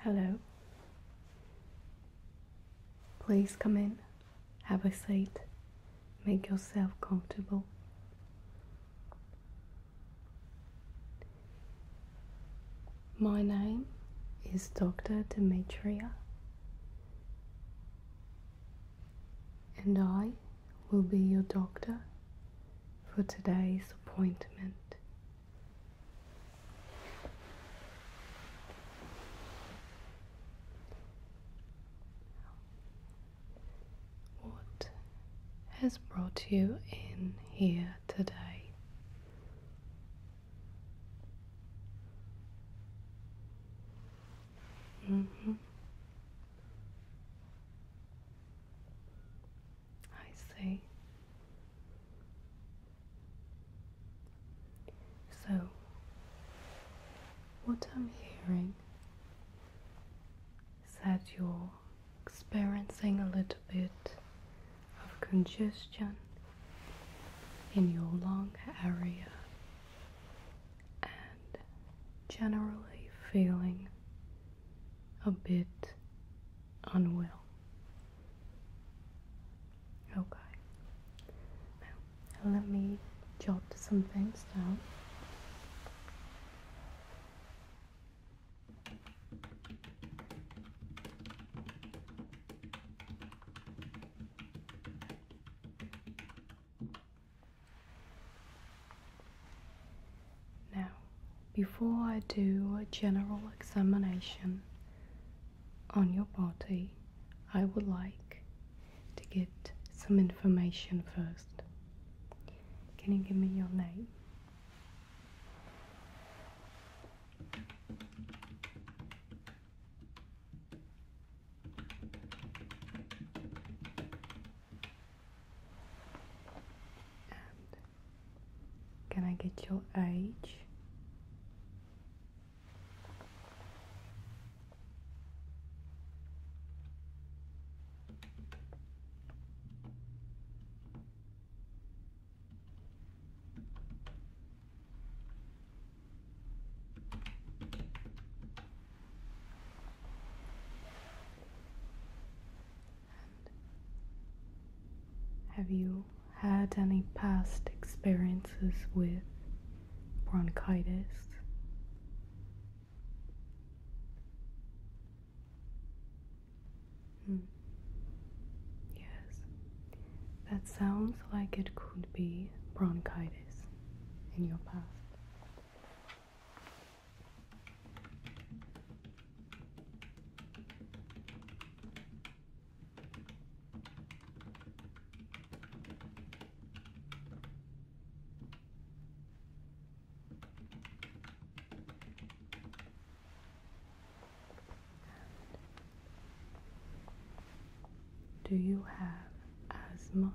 Hello. Please come in, have a seat, make yourself comfortable. My name is Dr. Demetria, and I will be your doctor for today's appointment. What has brought you in here today? Mm-hmm. I see. So, what I'm hearing is that you're experiencing a little bit of congestion in your lung area and generally feeling a bit unwell. Okay. Now, let me jot some things down. Now, before I do a general examination on your body, I would like to get some information first. Can you give me your name? Can I get your age? have you had any past experiences with bronchitis? Hmm. Yes, that sounds like it could be bronchitis in your past. Do you have asthma?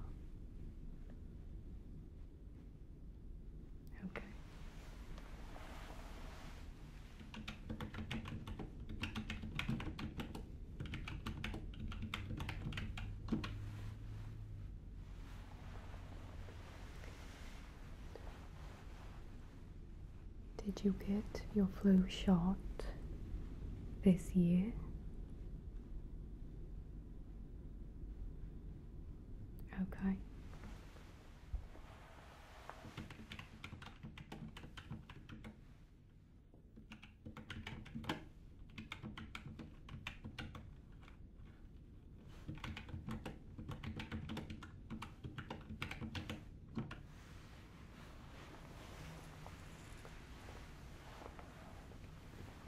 Okay. Did you get your flu shot this year? Okay.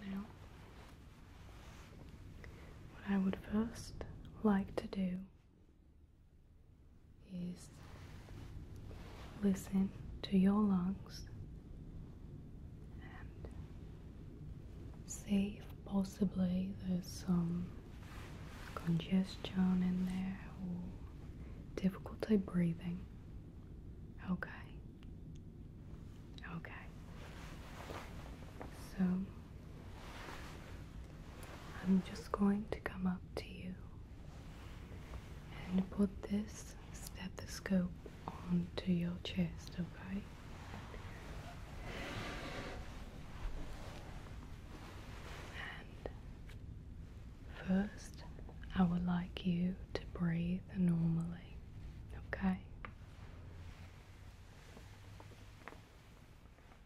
Now, what I would first like to do is listen to your lungs and see if possibly there's some congestion in there or difficulty breathing. Okay. Okay. So I'm just going to come up to you and put this stethoscope onto your chest, okay? And first, I would like you to breathe normally, okay?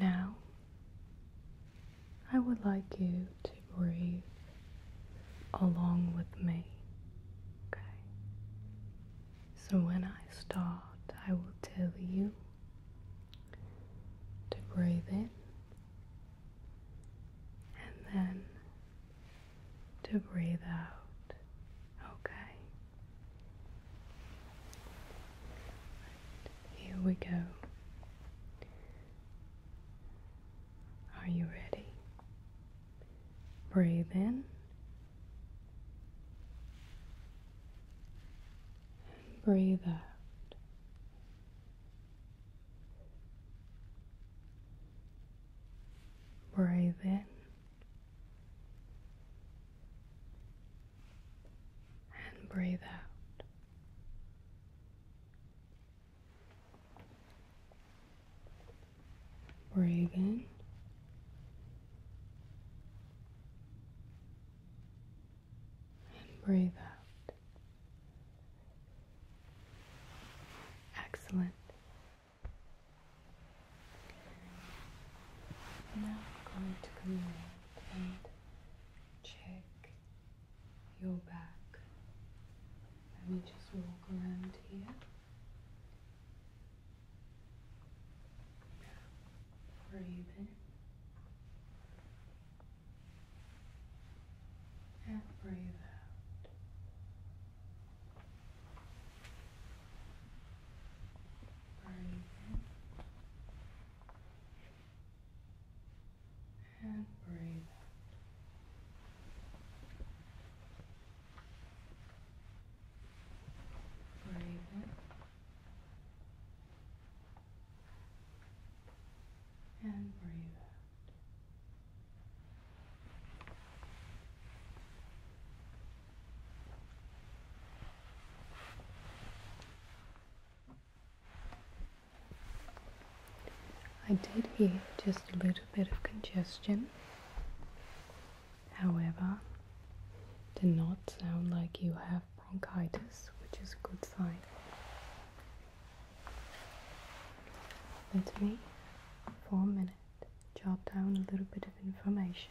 Now, I would like you to breathe along with me. Okay. So when I start, I will tell you to breathe in and then to breathe out. Okay. here we go. Are you ready? Breathe in breathe out. Breathe in and breathe out. Breathe in. And breathe out. Excellent. Now I'm going to come around and check your back. Let me just walk around here. Breathe in and breathe out. Breathe in and breathe Breathe in and breathe out. I did hear just a little bit of congestion, however, does not sound like you have bronchitis, which is a good sign. Let us me, for a minute, jot down a little bit of information.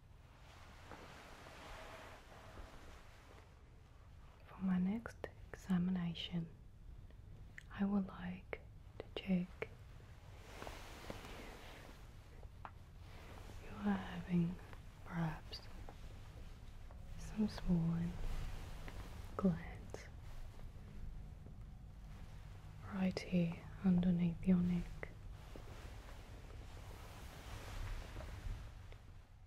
For my next examination, I would like to check you are having perhaps some swollen glands right here underneath your neck.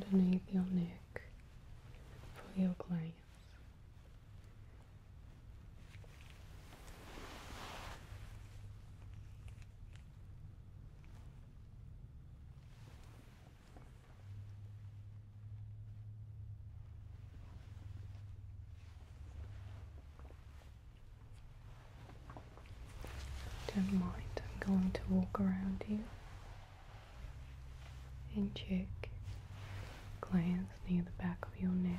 It's going to feel underneath your neck for your clients. Don't mind, I'm going to walk around you and cheek, glance near the back of your neck.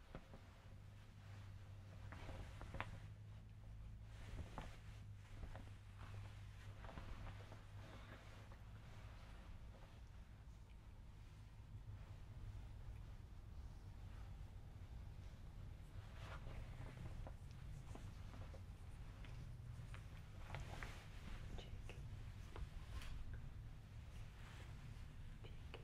Cheek. Cheek.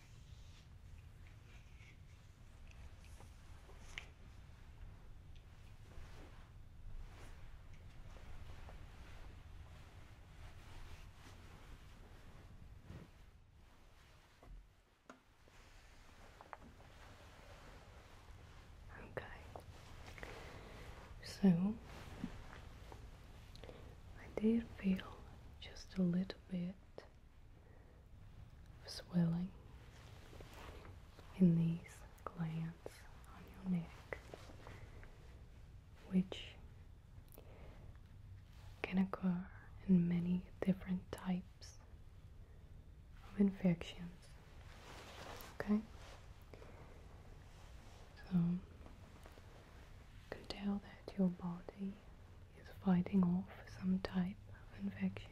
Okay, so I did feel just a little bit swelling in these glands on your neck, which can occur in many different types of infections. Okay? So, you can tell that your body is fighting off some type of infection.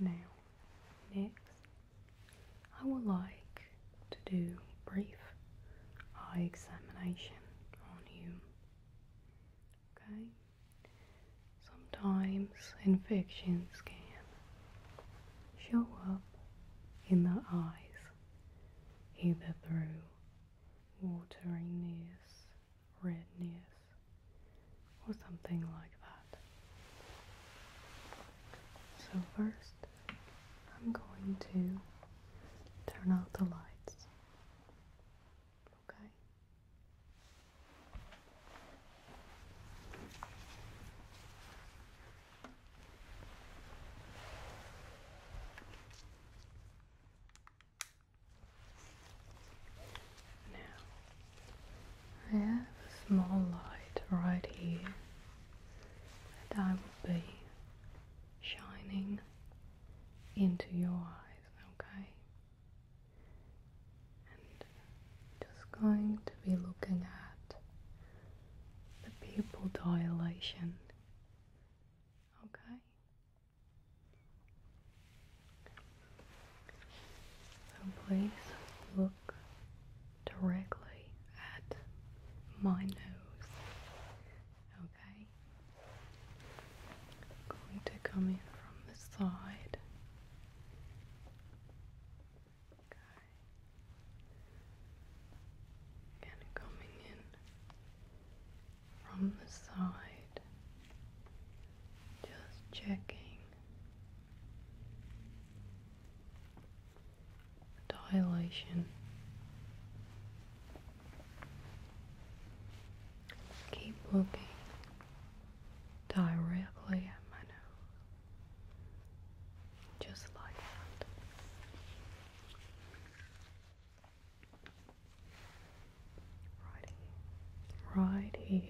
Now, next, I would like to do brief eye examination on you. Okay? Sometimes infections can show up in the eyes either through wateriness redness or something like that. So first I'm going to turn out the lights. Okay. Now, I have a small light right here that I will be shining into your eyes, okay? And just going to be looking at the pupil dilation, okay? So please look directly at my nose. Okay. going to come in from the side. Okay. Kind coming in from the side. Just checking dilation. Keep looking directly at my nose, just like that. Right here. Right here.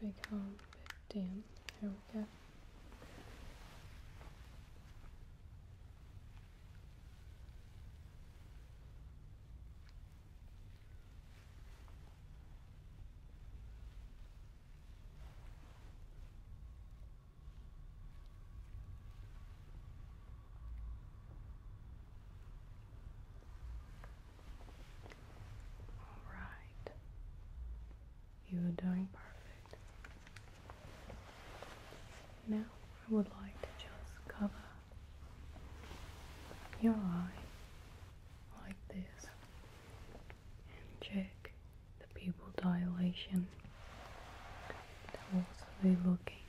Could become a bit dim. Here we go. All right. You are doing perfect. Now I would like to just cover your eye like this and check the pupil dilation. They'll also be looking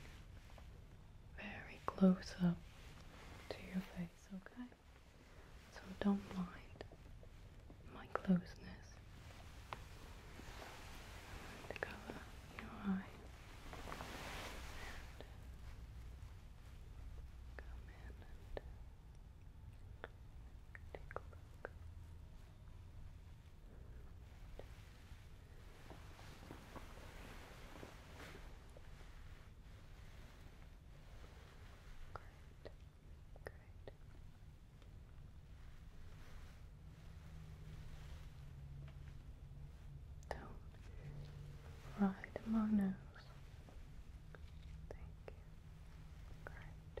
very close up to your face, okay? So don't mind my closeness. to cover your eye come in and take a look. Great, great. Down right in my nose. Thank you. Great.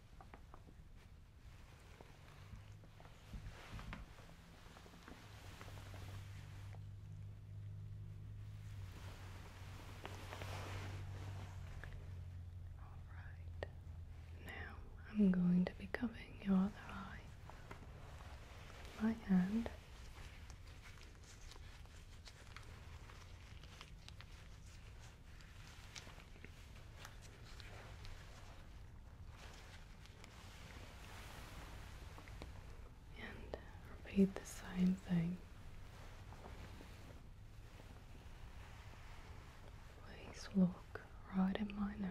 Alright, now I'm going to be covering your other eye my hand. And uh, repeat the same thing. Please look right at my nose.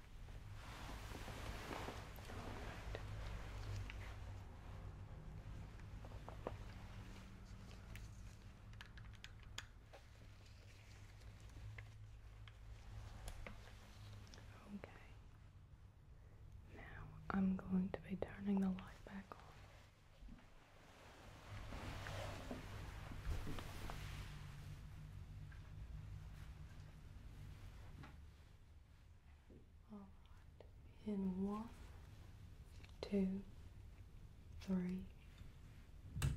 Okay. Now I'm going to be turning the light back on. In one, two, three. Okay.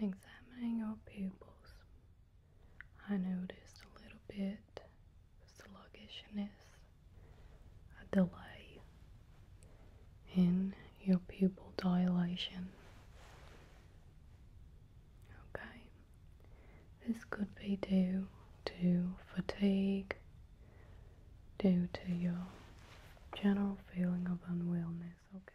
In examining your pupils, I noticed a little bit sluggishness, a delay in your pupil dilation. Okay, this could be due to fatigue, due to your general feeling of unwellness. Okay.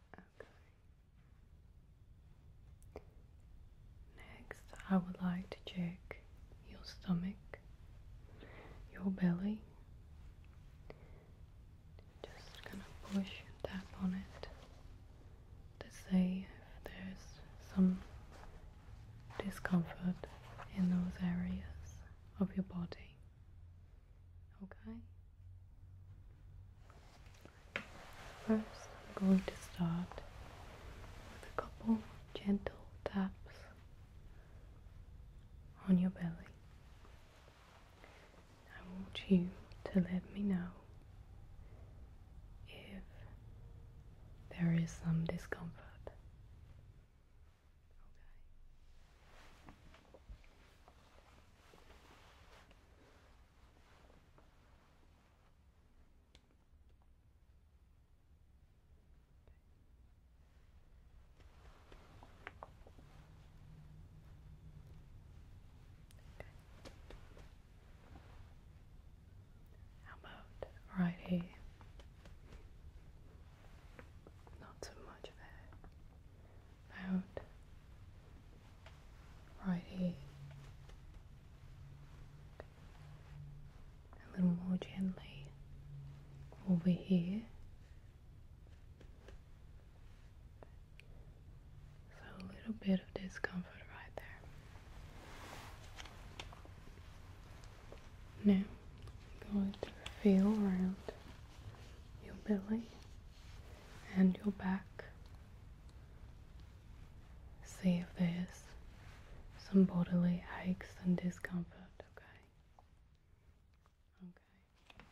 Next, I would like to check your stomach, your belly. Just gonna push and tap on it to see if there's some discomfort in those areas of your body. Okay? First, I'm going to start with a couple gentle taps on your belly. I want you to let me know if there is some discomfort. How about right here? Not so much there out right here. A little more gently over here. So a little bit of discomfort right there. Now, I'm going to feel around your belly and your back. See if there's some bodily aches and discomfort, okay? Okay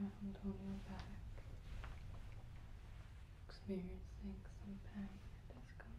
around on your back, experiencing some pang and discomfort.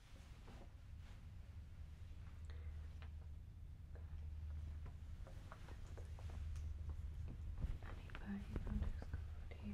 Anybody underscored here? Okay.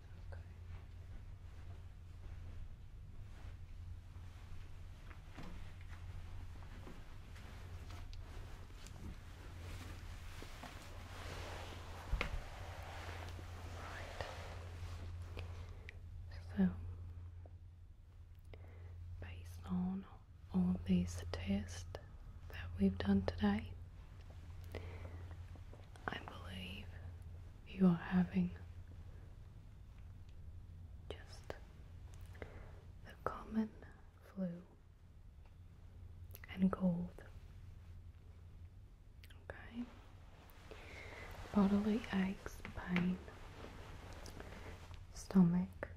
So, based on all these tests that we've done today, I believe you are having. Just the common flu and cold. Okay. Bodily aches, pain, stomach,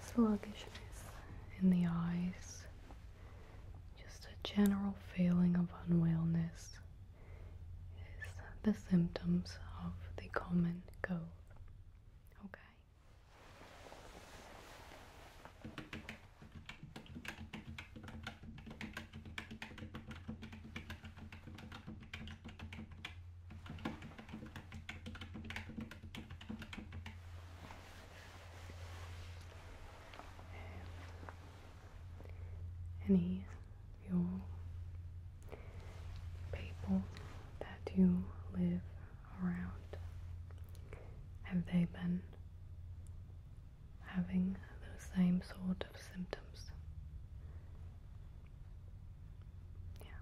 sluggishness in the eyes, just a general feeling of unwellness is the symptoms of the common cold. Okay any of your people that you live around? Have they been having the same sort of symptoms? Yeah.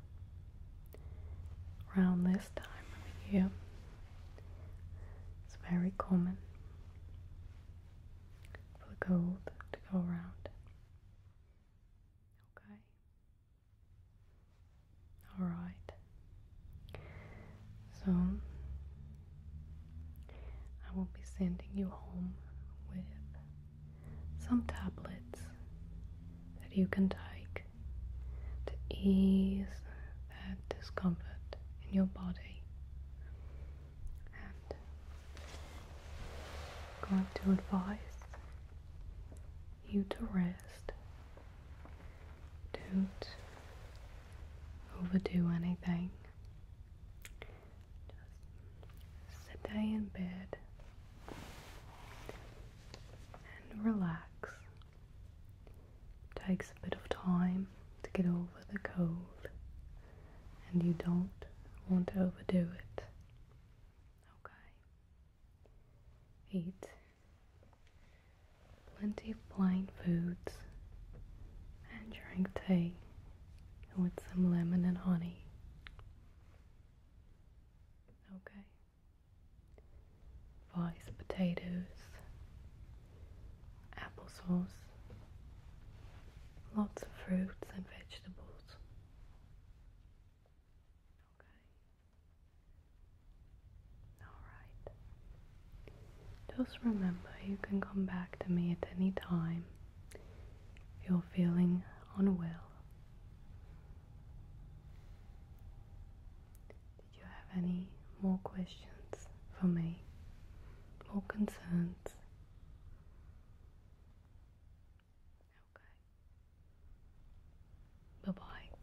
Around this time of the year, it's very common for the cold to go around. Okay. All right. So I will be sending you home with some tablets that you can take to ease that discomfort in your body. I'm going to advise you to rest. Don't overdo anything. Just sit there in bed and relax. takes a bit of time to get over the cold and you don't want to overdo it. Okay. Eat plenty of plain foods and drink tea with some lemon and honey. Okay. Vice potatoes applesauce, lots of fruits and vegetables. Okay. Alright. Just remember you can come back to me at any time if you're feeling unwell. Did you have any more questions for me? More concerns? Okay. Bye bye.